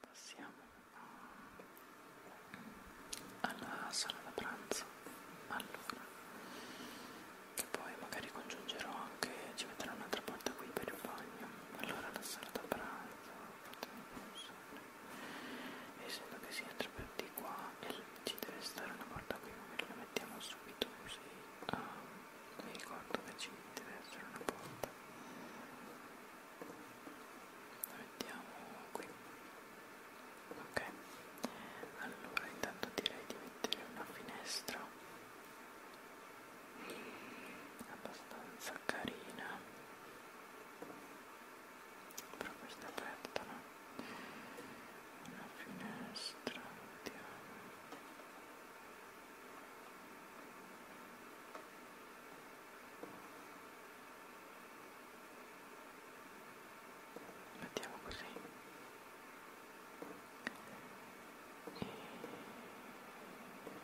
Passiamo alla sala da pranzo. Allora, che poi magari congiungerò anche, ci metterò un'altra porta qui per il bagno. Allora, la sala da pranzo, e sembra che si entra per di qua e ci deve stare una porta qui, magari la mettiamo subito così. Um, mi ricordo che ci deve essere una porta la mettiamo qui ok allora intanto direi di mettere una finestra abbastanza carina però questa è aperta no? una finestra vediamo mettiamo così e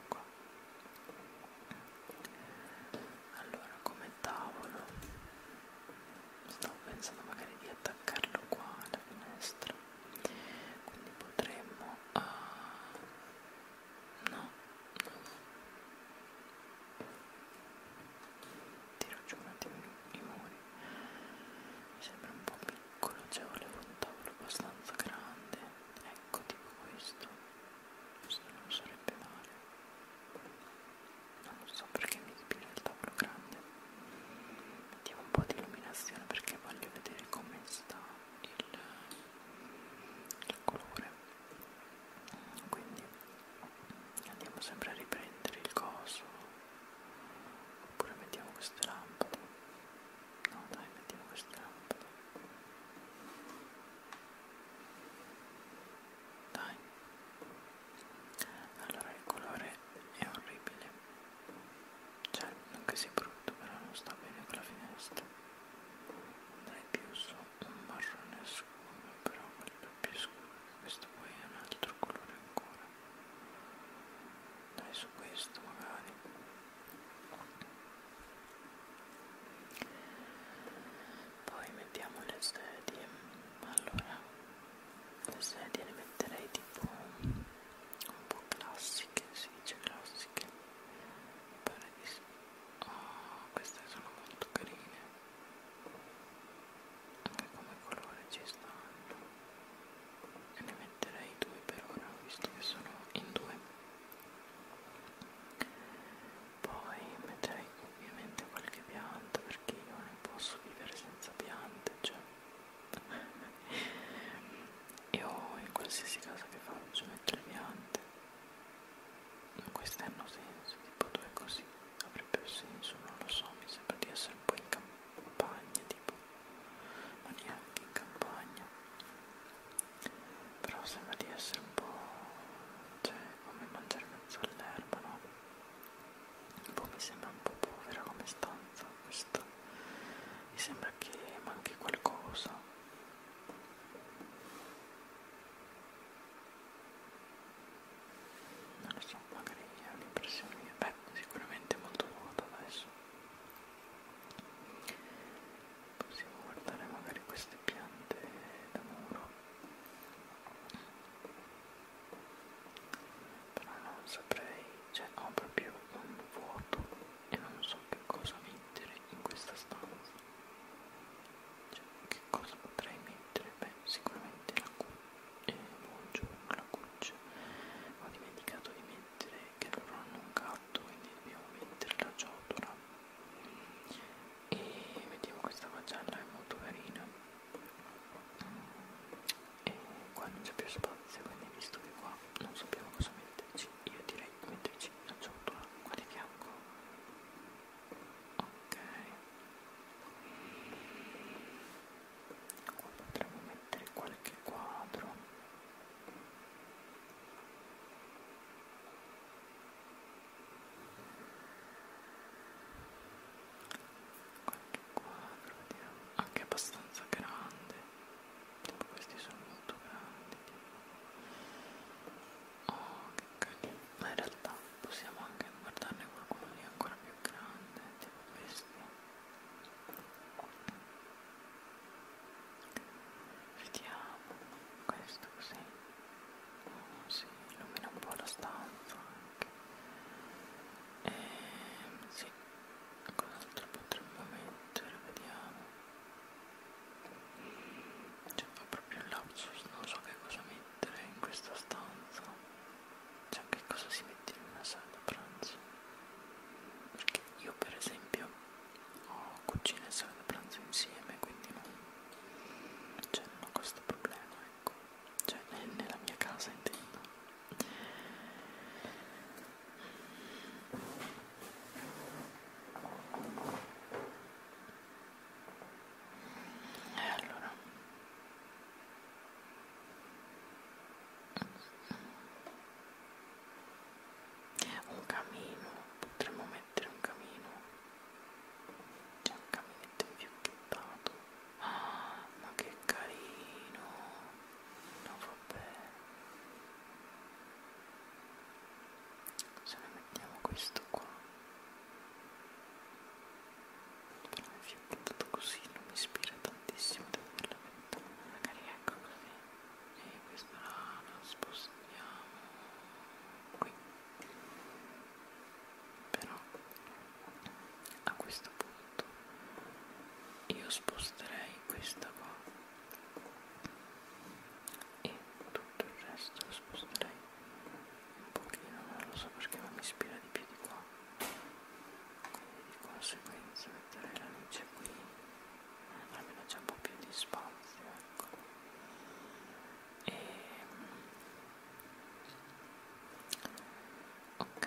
qua allora come tavolo stavo pensando magari di attaccarlo qua alla finestra quindi potremmo uh, no, no, no tiro giù un attimo i muri mi sembra un po' piccolo cioè volevo un tavolo abbastanza grande ecco tipo questo questo non sarebbe male non lo so perché mi ispira il tavolo grande mettiamo un po' di illuminazione perché voglio vedere come sta il, il colore quindi andiamo sempre a riprendere il coso oppure mettiamo queste lampade no dai mettiamo queste lampade dai allora il colore è orribile cioè, anche se è brutto, però non sta bene con la finestra. Andrei più su un marrone scuro, però quello è più scuro. Questo poi è un altro colore ancora. Dai su questo magari. Poi mettiamo le sedie. Allora, Adesso ne metterei tipo un po' classiche, si dice classiche, mi pare di sì. Oh, queste sono molto carine, anche come colore ci stanno. E ne metterei due per ora, visto che sono in due. Poi metterei ovviamente qualche pianta perché io non posso vivere senza piante, cioè Io in qualsiasi casa che faccio metto le piante, queste hanno senso, tipo due così avrebbe senso, non lo so, mi sembra di essere un po' in campagna, tipo, ma neanche in campagna, però sembra di essere un po', cioè, come mangiare mezzo all'erba, no? boh, mi sembra un po' povera come stanza questa mi sembra che manchi qualcosa non lo so magari è un'impressione mia beh sicuramente molto vuota adesso possiamo guardare magari queste piante da muro però non saprei, cioè ho proprio un vuoto e non so che cosa mettere in questa stanza cioè che cosa potrei mettere? beh sicuramente la cuccia, eh, buongiorno la cuccia ho dimenticato di mettere che loro hanno un gatto quindi dobbiamo mettere la ciotola e vediamo questa pagella è molto carina e qua non c'è più spazio quindi visto che qua non sappiamo cosa metterci io direi di metterci la ciotola qua di fianco ok qua potremmo mettere qualche quadro qualche quadro vediamo anche abbastanza grande tipo questi sono molto grandi tipo. oh che carino ma in realtà possiamo anche guardarne qualcuno di ancora più grande tipo questi vediamo questo così oh, si illumina un po' la stanza anche ehm, e sì cos'altro potremmo mettere vediamo cioè fa proprio il lapsus non so che cosa mettere in questa stanza cioè che cosa si mette in una sala da pranzo perché io per esempio ho cucina e sala da pranzo insieme quindi non, cioè non ho questo problema ecco cioè nella mia casa intendo e allora un camino potremmo mettere un camino c'è un caminetto infiocchettato. Ah, ma che carino! No, vabbè. Se ne mettiamo questo qua. Però è infiocchettato così, non mi ispira tantissimo, devo dire la verità. Magari ecco così. E questa la spostiamo qui però a questo punto io sposterei questa qua e tutto il resto lo sposterei un pochino non lo so perché non mi ispira di più di qua quindi di conseguenza metterei la luce qui almeno c'è un po' più di spazio ecco e... Ehm, ok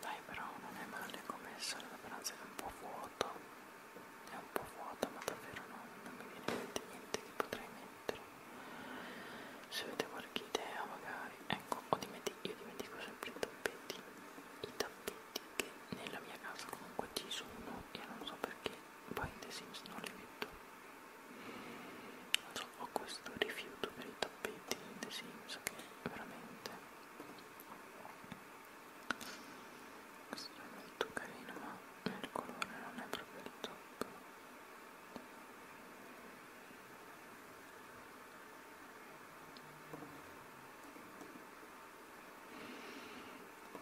dai però non è male come sale da pranzo è un po' vuoto è un po' vuoto ma davvero non, non mi viene in mente niente che potrei mettere se avete qualche idea magari ecco ho dimentico, io dimentico sempre i tappeti i tappeti pacchetti che nella mia casa comunque ci sono e non so perché poi The Sims non li metto non so, ho questo rifiuto per i tappeti di The Sims che veramente questo è molto carino ma il colore non è proprio il top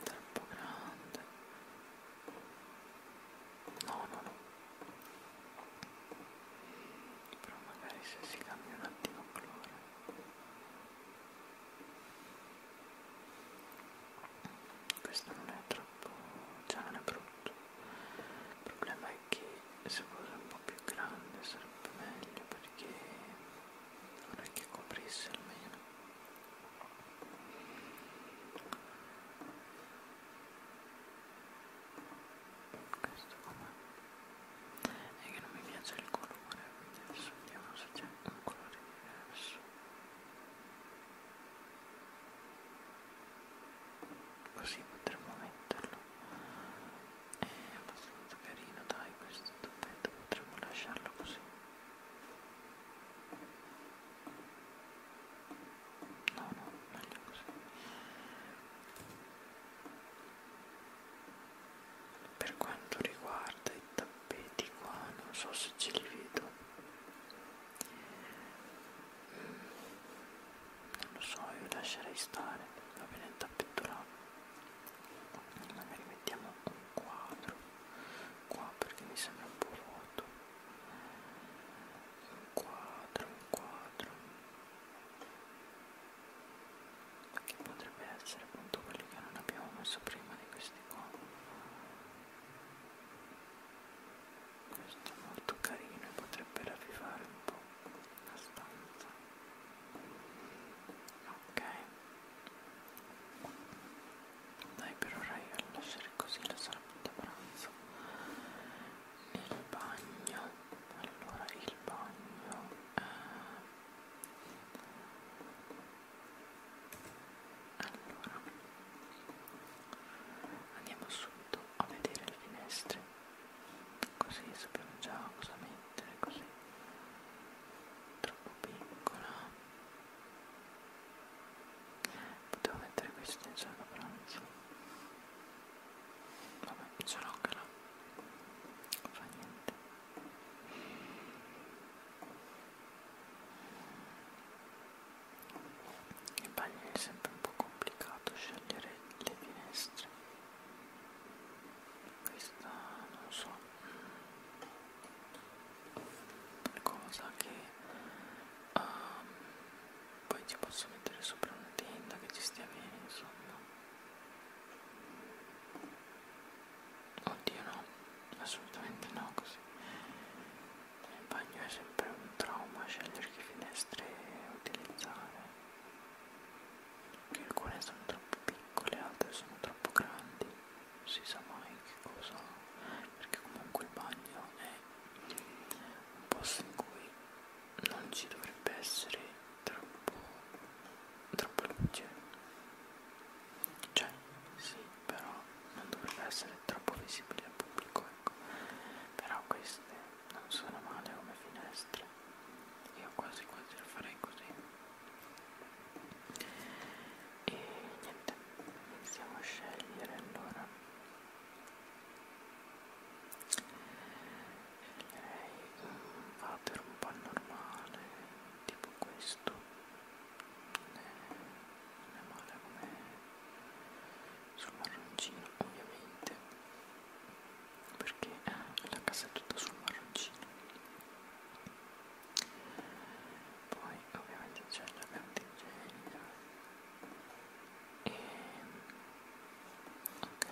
troppo grande no no no però magari se si cambia un attimo colore questo non è troppo già non è brutto il problema è che e se fosse un po' più grande sarebbe meglio perché non è che coprisse almeno questo com'è? è che non mi piace il colore quindi adesso vediamo se c'è un colore diverso così potremmo metterlo è abbastanza carino, dai, questo tappeto potremmo lasciarlo così. No, no, meglio così. Per quanto riguarda i tappeti qua, non so se ce li vedo. Mm non lo so io lascerei stare va bene il tappeto là magari mettiamo un quadro qua perché mi sembra un po' vuoto un quadro un quadro che potrebbe essere appunto quelli che non abbiamo messo prima di questi qua questo è molto carino e potrebbe ravvivare un po' la stanza ok dai per ora io a lasciare così la sala da pranzo il bagno allora il bagno eh. allora andiamo subito a vedere le finestre così sappiamo già cosa mettere così troppo piccola potevo mettere questa in sala pranzo vabbè ce l'ho che no non fa niente i bagni è sempre un po' complicato scegliere le finestre questa non so mm, cosa che um, poi ci posso mettere sopra una tenda che ci stia bene insomma oddio no assolutamente no così il bagno è sempre un trauma scegliere che finestre utilizzare che alcune sono troppo piccole altre sono troppo grandi non si sa mai che cosa perché comunque il bagno è un posto in cui non ci dovrebbe essere troppo troppo luce cioè sì però non dovrebbe essere troppo visibile al pubblico ecco però queste non sono male come finestre io quasi quasi lo farei così e niente iniziamo a scegliere allora sceglierei un water un po' normale tipo questo eh, non è male come sul marroncino ovviamente perché eh, la casa è tutta sul marroncino poi ovviamente c'è la candeggina e ok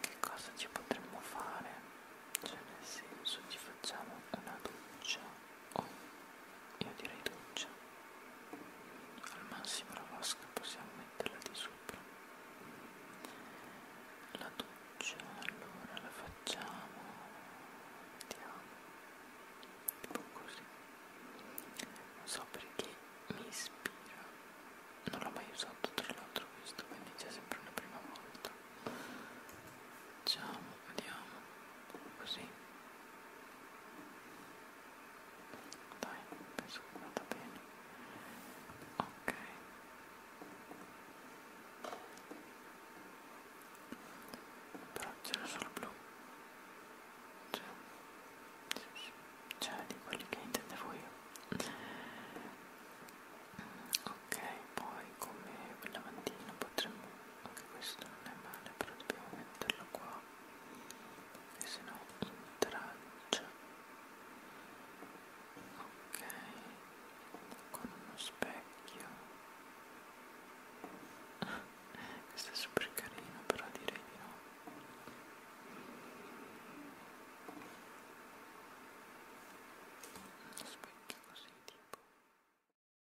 che cosa ci potremmo fare? Cioè nel senso ci facciamo una doccia Oh, io direi doccia. Al massimo la vasca possiamo metterla di sopra. La doccia allora la facciamo. Vediamo. Tipo così. Non so perché mi ispira. Non l'ho mai usato tra l'altro questo, quindi c'è sempre una prima volta. Facciamo vediamo così dai penso che vada bene ok però c'era solo blu c'è cioè, c'è di quelli che intendevo io ok poi come lavandino potremmo anche questo non è male però dobbiamo metterlo qua e se no intralcia ok con uno specchio questo è super carino però direi di no uno specchio così tipo